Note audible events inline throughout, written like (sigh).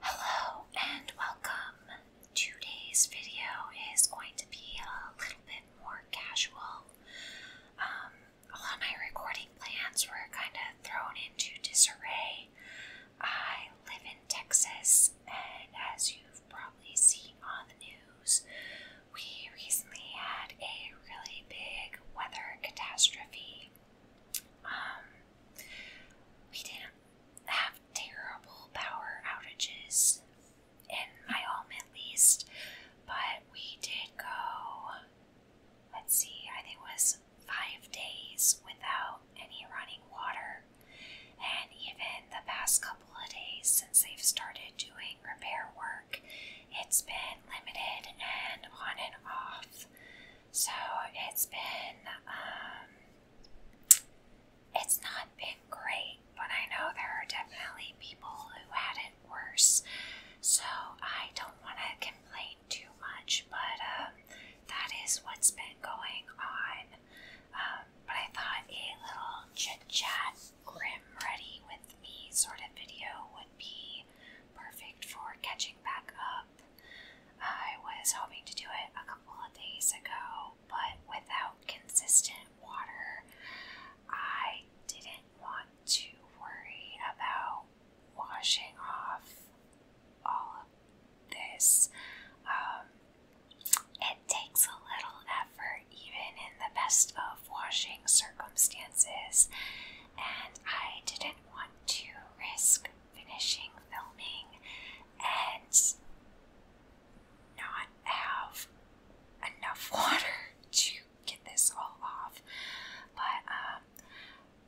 Hello and welcome. Today's video is going to be a little bit more casual. a lot of my recording plans were kind of thrown into disarray. I live in Texas, and as you've probably seen on the news, we recently had a really big weather catastrophe. Um, we didn't have terrible power outages in my home at least, but we did go let's see, I think it was five days without any running water. And even the past couple of days since they've started doing repair work, it's been limited and on and off. So it's been, um, it's not been great, but I know there are definitely people who had it worse. So I don't want to complain too much, but um, that is what's been going on. Um, but I thought a little chit chat, grim, ready with me sort of video would be perfect for catching back up. I was hoping to do it a couple of days ago, but without consistent water, I didn't want to worry about washing off all of this. Um, it takes a little effort, even in the best of washing circumstances, and I didn't want to risk finishing filming and not have enough (laughs) water to get this all off. But um,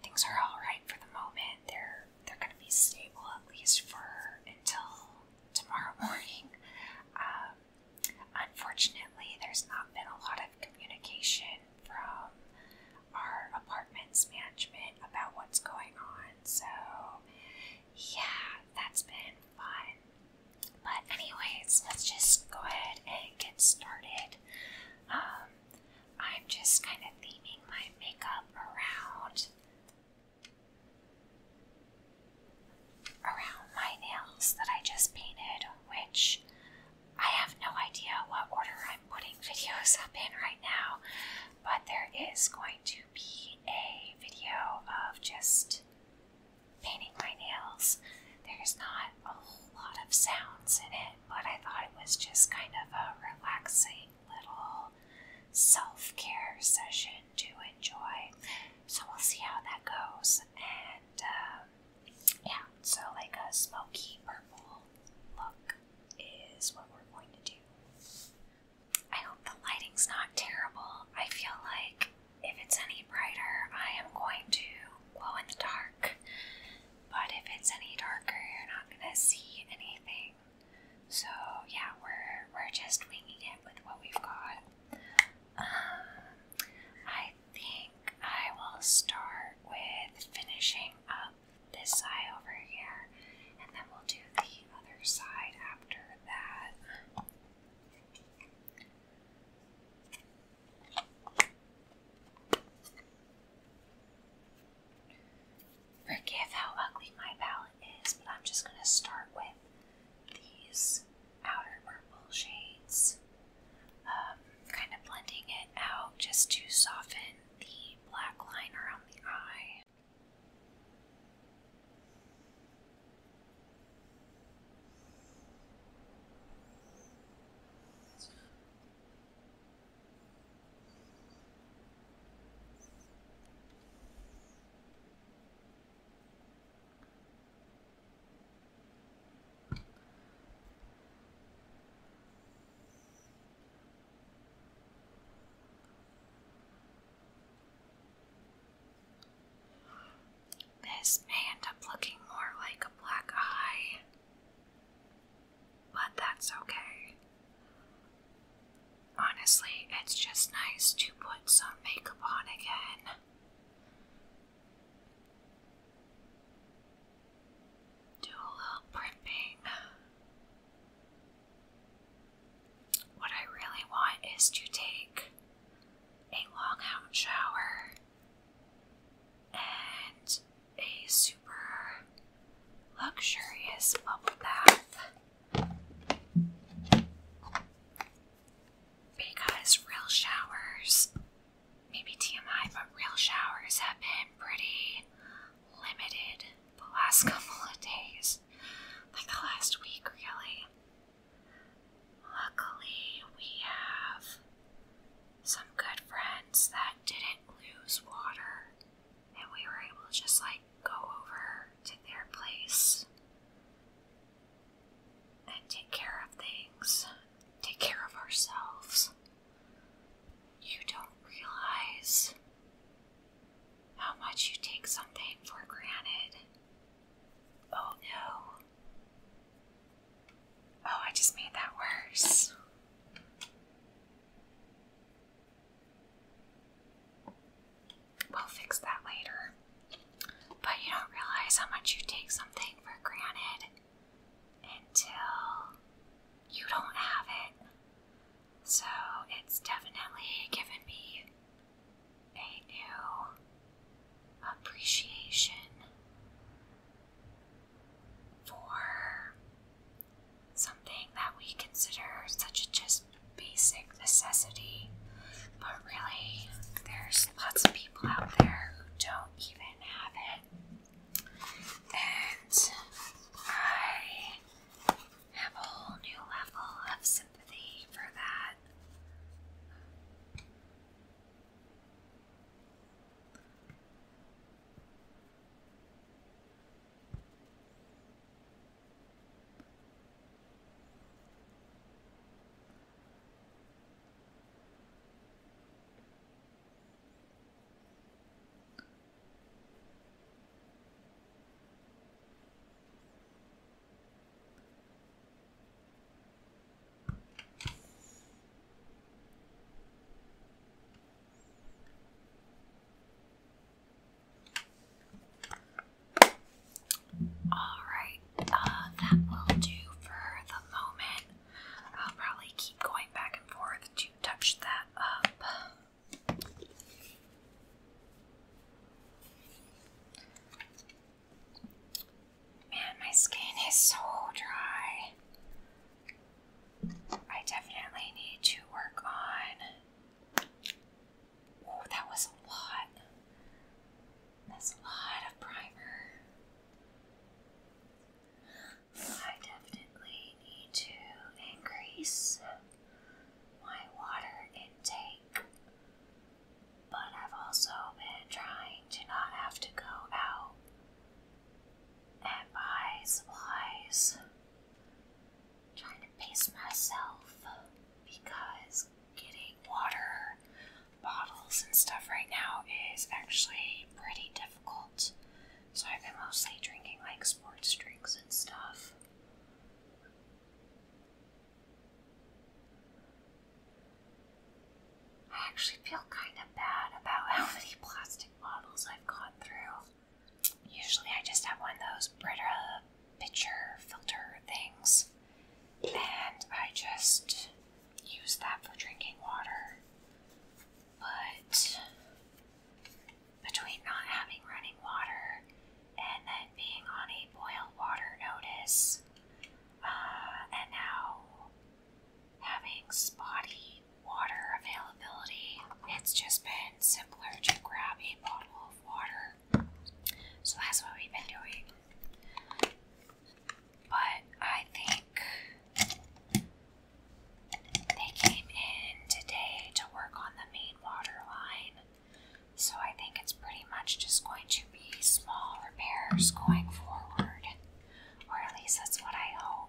things are all right for the moment. They're they're gonna be stable at least for until tomorrow morning. Um, unfortunately, there's not been a lot of communication from our apartments management about what's going on. So, yeah, that's been fun. But, anyways, let's just go ahead and get started. Um, I'm just kind of theming my makeup around around my nails that I just painted, which I have no idea what order I'm putting (laughs) videos up in right now but there is going to be a video of just painting my nails. There's not a whole lot of sounds in it, but I thought it was just kind of a relaxing little self care session to enjoy. So we'll see how that goes. And um, yeah, so like a smoky purple look is what we're going to do. I hope the lighting's not terrible. I feel like if it's any brighter, I am going to glow in the dark. But if it's any darker, you're not going to see anything. So yeah, we're we're just winging it with what we've got. Um, I think I will start with finishing up this side over here, and then we'll do the other side after that. Forgive how ugly my palette is, but I'm just going to start with these outer purple shades, um, kind of blending it out just to soften the black line around the eye. This may end up looking more like a black eye, but that's okay. Honestly, it's just nice to put some makeup on again do a little primping. What I really want is to take a long out shower and a super luxurious bubble bath. Because real showers, maybe TMI, but real showers have been pretty limited the last couple of days, like the last week, really. Luckily, we have some good friends that didn't lose water, and we were able to just like go over to their place and take care of things, take care of ourselves. You don't realize how much you take something for granted. Oh no. Oh, I just made that worse. We'll fix that later. But you don't realize how much you take something for granted until you don't have it. So it's definitely given me a new appreciation for something that we consider such a just basic necessity. But really, there's lots of people out there who don't even have it. And I have a whole new level of sympathy for that. All right, uh, that will do for the moment. I'll probably keep going back and forth to touch that up. Man, my skin is so dry. I definitely need to work on. Oh, that was a lot. That's a lot of primer. I definitely need to increase my water intake, but I've also been trying to not have to go out and buy supplies. Trying to pace myself because getting water bottles and stuff right now is actually pretty difficult. So I've been mostly drinking like sports drinks and stuff. I actually feel kind of bad about how (laughs) many plastic bottles I've gone through. Usually I just have one of those Brita pitcher filter things, and I just use that for drinking water. But between not having running water and then being on a boil water notice, uh, and now having spotty water availability, it's just been simpler to grab a bottle of water. So that's what we've been doing. But I think they came in today to work on the main water line, so I think it's pretty much just going to be small repairs going forward, or at least that's what I hope.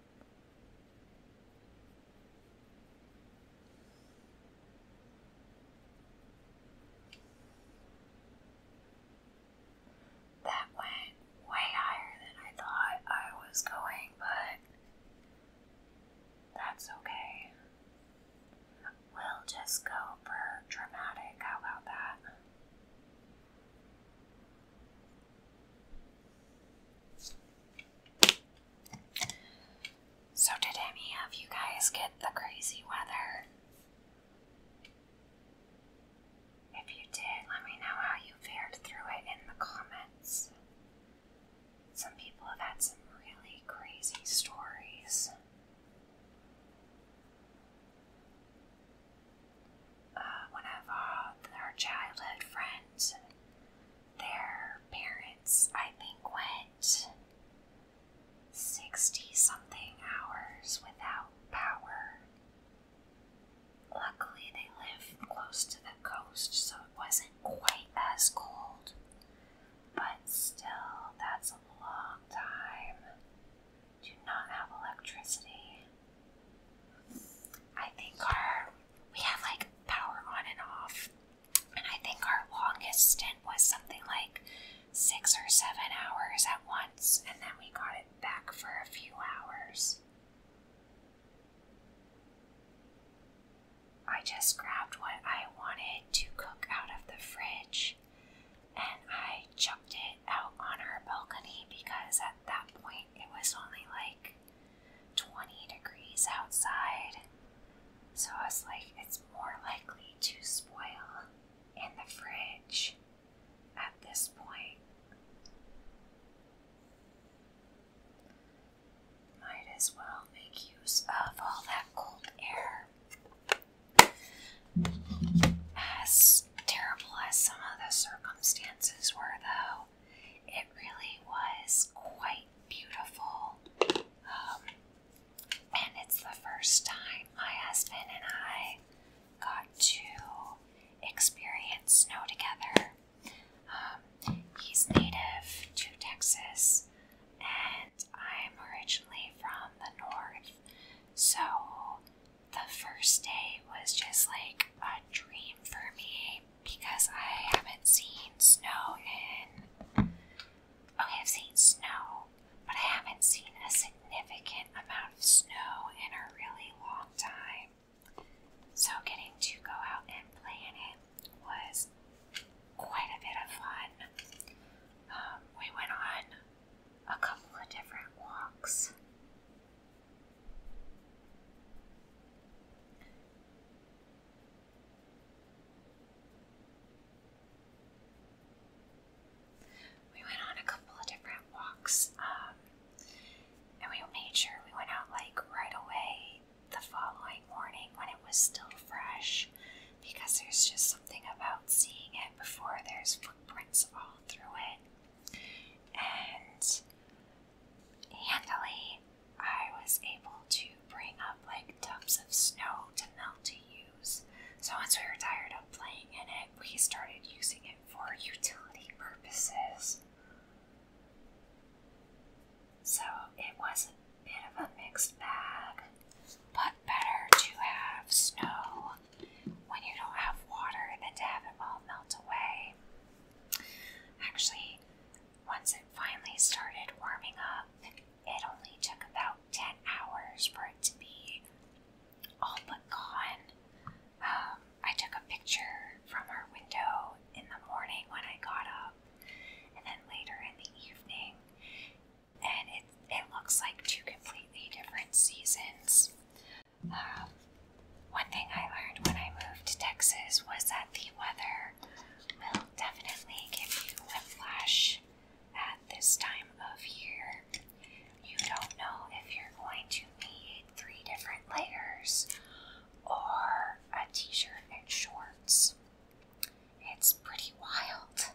That went way higher than I thought I was going, but that's okay. We'll just go for dramatic. How about that? So, did any of you guys get the crazy weather? If you did, let me know how you fared through it in the comments. Some people have had some really crazy stories. Uh, one of uh, our childhood friends their parents, I think, went 60 something hours without power. Luckily, they lived close to the coast, so it wasn't quite as cold, but still, that's a long time Do not have electricity. I think our we have like power on and off and I think our longest stint was something like six or seven hours at once, and then we got it back for a few hours. I just grabbed what I wanted to cook out of the fridge and I chucked it out on our balcony because at that point it was only like 20 degrees outside. So I was like, it's more likely to spoil in the fridge at this point. Might as well make use of all that cold air. As terrible as some of the circumstances were, though, it really was quite beautiful. Um, and it's the first time my husband and I got to experience snow together. Um, he's native to Texas, and I'm originally from the north. So the first day was just like a dream for me because I haven't seen snow in. Okay, I've seen snow, but I haven't seen a significant amount of snow in a really long time. So, getting to go out and play in it was quite a bit of fun. Um, we went on a couple of different walks. We went on a couple of different walks, um, and we made sure we went out like right away the following morning when it was still fresh because there's just something about seeing it before there's footprints all through it. And handily, I was able to bring up like tubs of snow to melt to use. So once we were tired of playing in it, we started using it for utility purposes. So it was a bit of a mixed bag, but better to have snow when you don't have water than to have it all melt away. Actually, once it finally started warming up, it only took about 10 hours for it to be all but gone. Um, I took a picture from our window in the morning when I got up, and then later in the evening, and it, it looks like two completely different seasons. Um, one thing I learned when I moved to Texas was that the weather will definitely give you whiplash at this time of year. You don't know if you're going to need three different layers or a t shirt and shorts. It's pretty wild.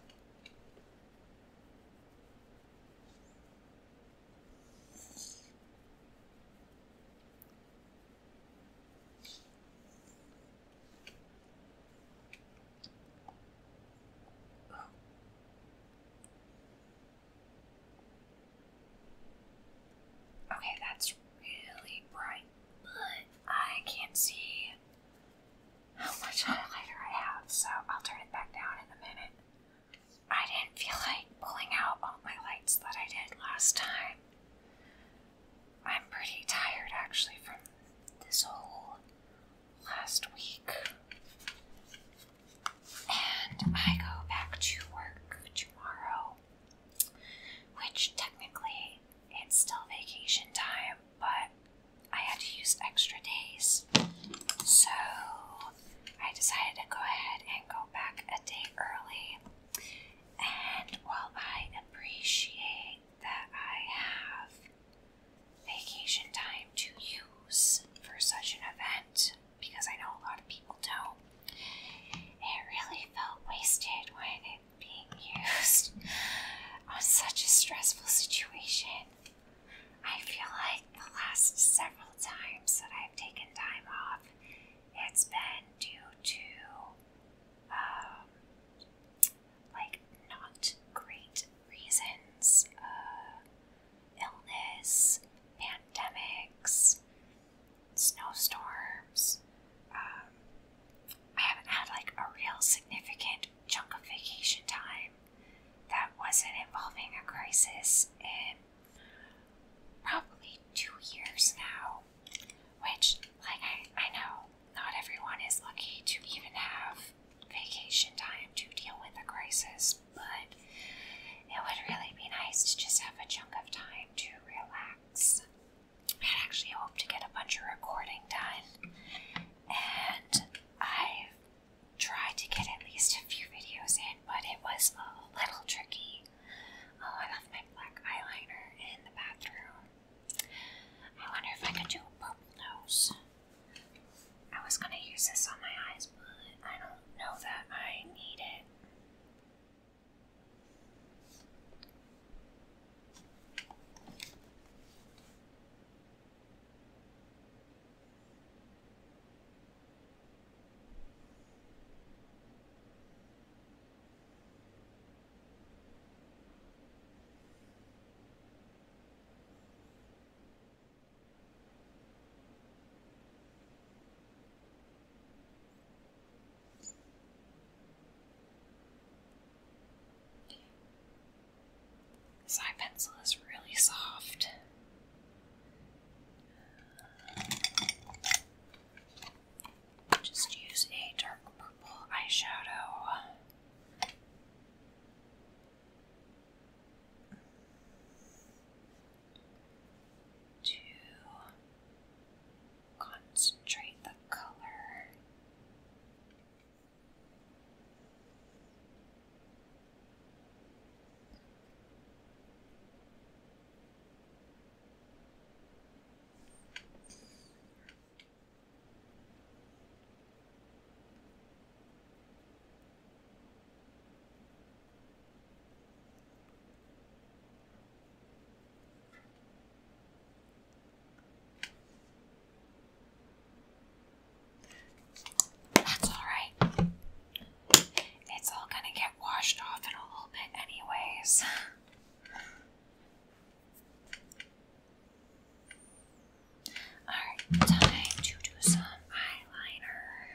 Okay, that's really bright, but I can't see how much highlighter I have, so I'll turn it back down in a minute. I didn't feel like pulling out all my lights that I did last time. I'm pretty tired actually from this whole last week. And I go back to work tomorrow, which technically it's still vacation time, but I had to use extra days. So I decided to go ahead and go back a day early and while I appreciate that I have vacation time to use for such an event, because I know a lot of people don't, it really felt wasted when it being used (laughs) on such a stressful situation. I feel like the last several times that I've taken time off, it's been due to um, like not great reasons, uh, illness, pandemics, snowstorms. Um, I haven't had like a real significant chunk of vacation time that wasn't involving a crisis in probably two years now. Which, like, I, I know not everyone is lucky to even have vacation time to deal with the crisis, but it would really be nice to just have a chunk of time to relax. I actually hope to get a bunch of recording done, and I've tried to get at least a few videos in, but it was a little tricky. Oh, I left my black eyeliner in the bathroom. I wonder if I could do a purple nose. I was gonna use this on my eyes, but I don't know that I need it. This eye pencil is really soft. Just use a dark purple eyeshadow. To concentrate the color. That's alright. It's all gonna get washed off in a little bit, anyways. Alright, time to do some eyeliner.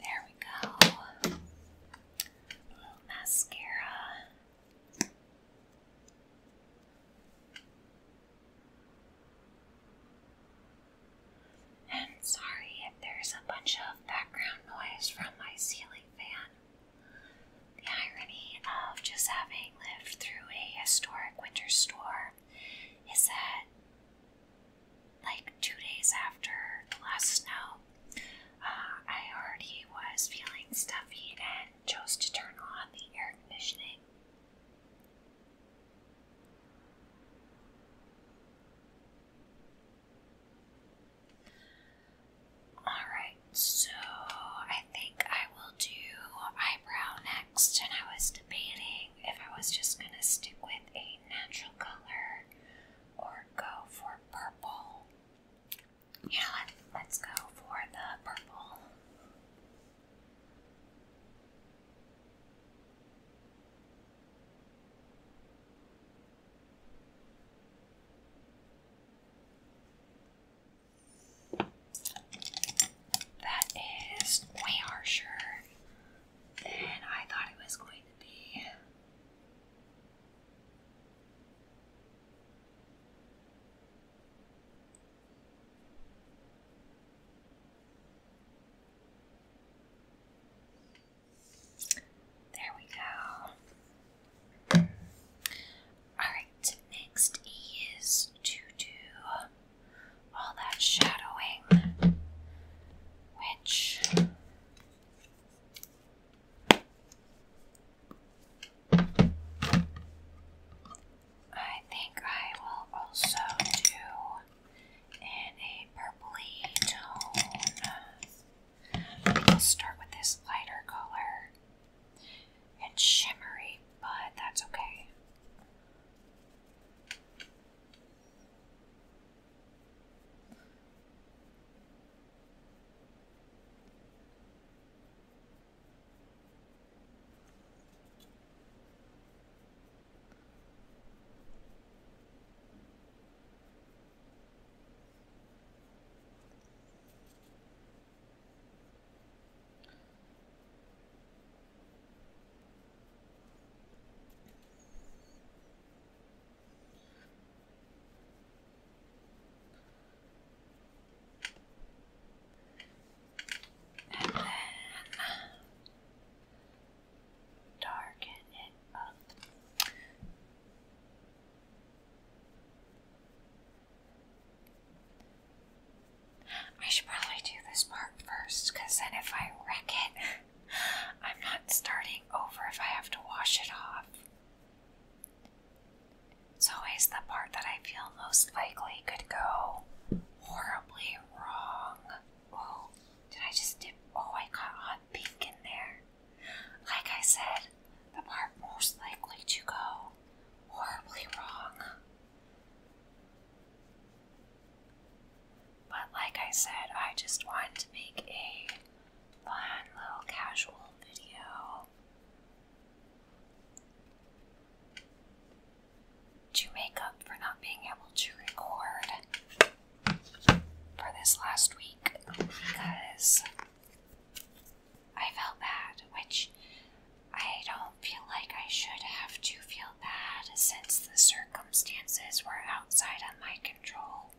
There we go. A little mascara. And sorry if there's a bunch of background noise from my ceiling fan. The irony of just having lived through a historic winter storm is that, like two days after the last snow, uh, I already was feeling stuffy and chose to turn on the air conditioning. Alright, so I think I will do eyebrow next, and I was debating if I was just gonna stick with a natural color or go for purple. Yeah, let, let's go for the purple. That is way harsher than I thought it was going to be. There we go. Alright, next is to do all that shadowing, which I think I will also do in a purpley tone. We can start with this lighter color. It's shimmery, but that's okay. And then darken it up. I should probably do this part first, because then if I wreck it, I'm not starting over if I have to wash it off. It's always the part that I feel most likely could go horribly wrong. Oh, did I just dip? Oh, I got on pink in there. Like I said, the part most likely to go horribly wrong. But like I said, I just wanted to make a fun little casual video to make up for not being able to record for this last week because I felt bad, which I don't feel like I should have to feel bad since the circumstances were outside of my control.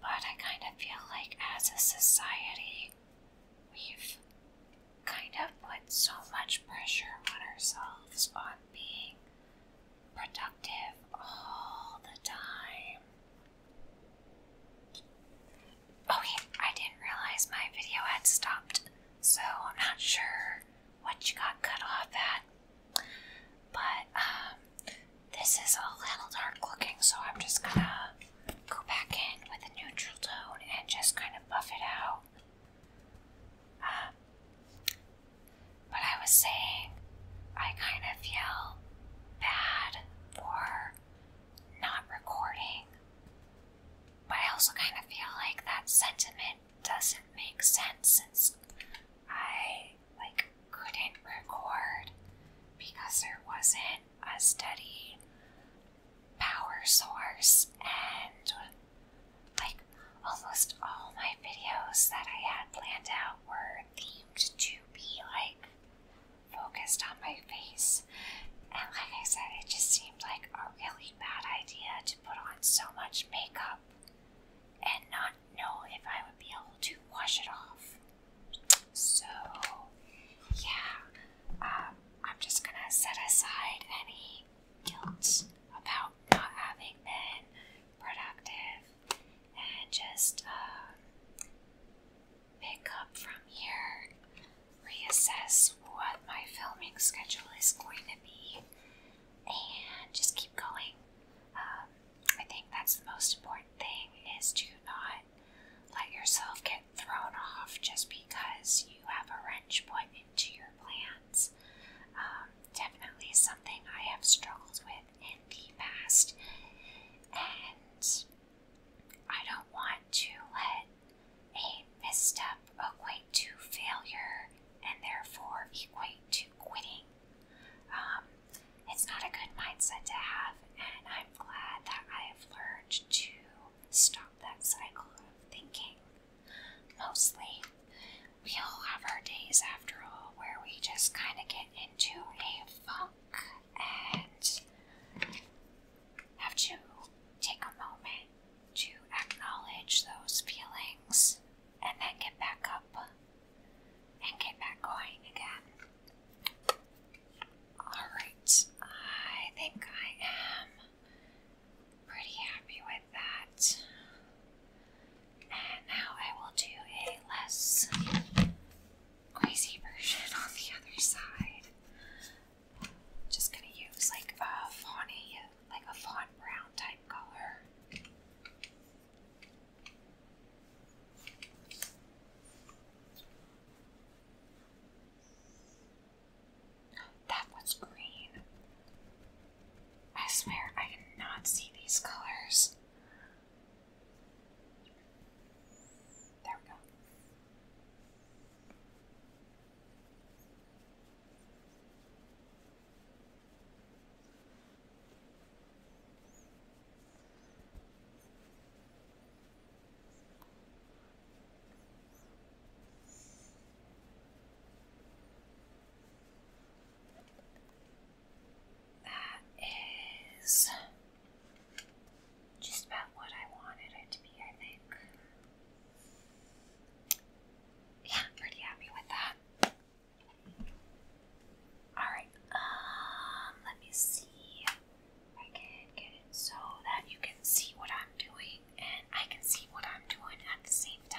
But I kind of feel like as a society, we've kind of put so much pressure on ourselves on being productive all the time. Oh, I didn't realize my video had stopped, so I'm not sure what you got cut off at. But, um, this is a little dark looking, so I'm just gonna go back in with a neutral tone and just kind of buff it out. Um, but I was saying, I kind of feel bad for not recording. But I also kind of feel like that sentiment doesn't make sense since I like couldn't record because there wasn't a steady power source and like almost all my videos that I had planned out were themed to be like focused on my face. And like I said, it just seemed like a really bad idea to put on so much makeup and not know if I would be able to wash it off. So, yeah, um, I'm just gonna set aside any guilt about not having been productive and just um, pick up from here, reassess what my filming schedule is going to be, and just keep going. Um, I think that's the most important thing is to not let yourself get thrown off just because you have a wrench put into your plans. Um, definitely something I have struggled with in the past, and I don't want to let a misstep equate to failure and therefore equate to quitting. Um, it's not a good mindset to have, and I'm glad that I have learned to stop that cycle of thinking. Mostly, we all have our days after all where we just kind of get into a funk and have to take a moment to acknowledge those feelings and then get back up and get back going again. Alright, I think I am pretty happy with that. And now I will do a less crazy version on the other side. Just gonna use like a fawny, like a fawn brown type color. That was green. I swear I did see these colors. There we go. That is just about what I wanted it to be, I think. Yeah, pretty happy with that. Alright, um, let me see if I can get it so that you can see what I'm doing and I can see what I'm doing at the same time.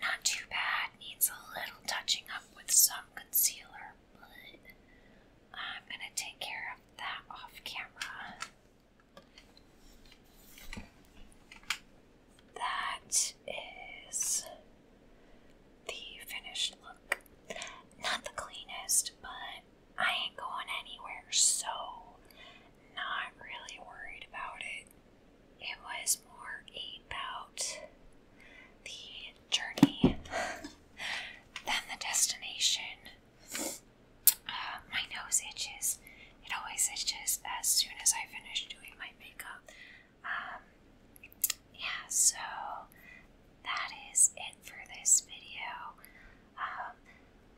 Not too bad, needs a little touching up with some concealer, but I'm gonna take care of that off camera. That is the finished look. Not the cleanest, but I ain't going anywhere, so not really worried about it. It was more about the journey (laughs) than the destination. Uh, my nose itches. It always itches as soon as I finish doing my makeup. Um, yeah, so that is it for this video. Um,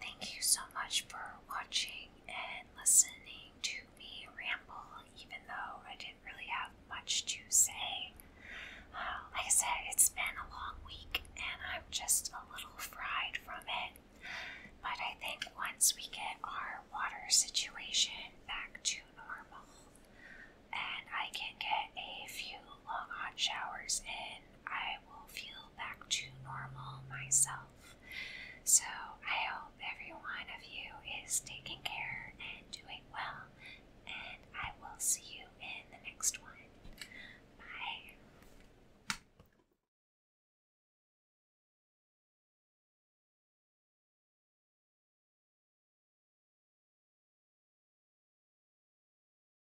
thank you so much for watching and listening to me ramble, even though I didn't really have much to say. Uh, like I said, it's been a long week and I'm just a little fried from it. But I think once we get our water situation back to normal and I can get a few long hot showers in, I will feel back to normal myself. So I hope every of you is taking care and doing well, and I will see you in the next one. Bye.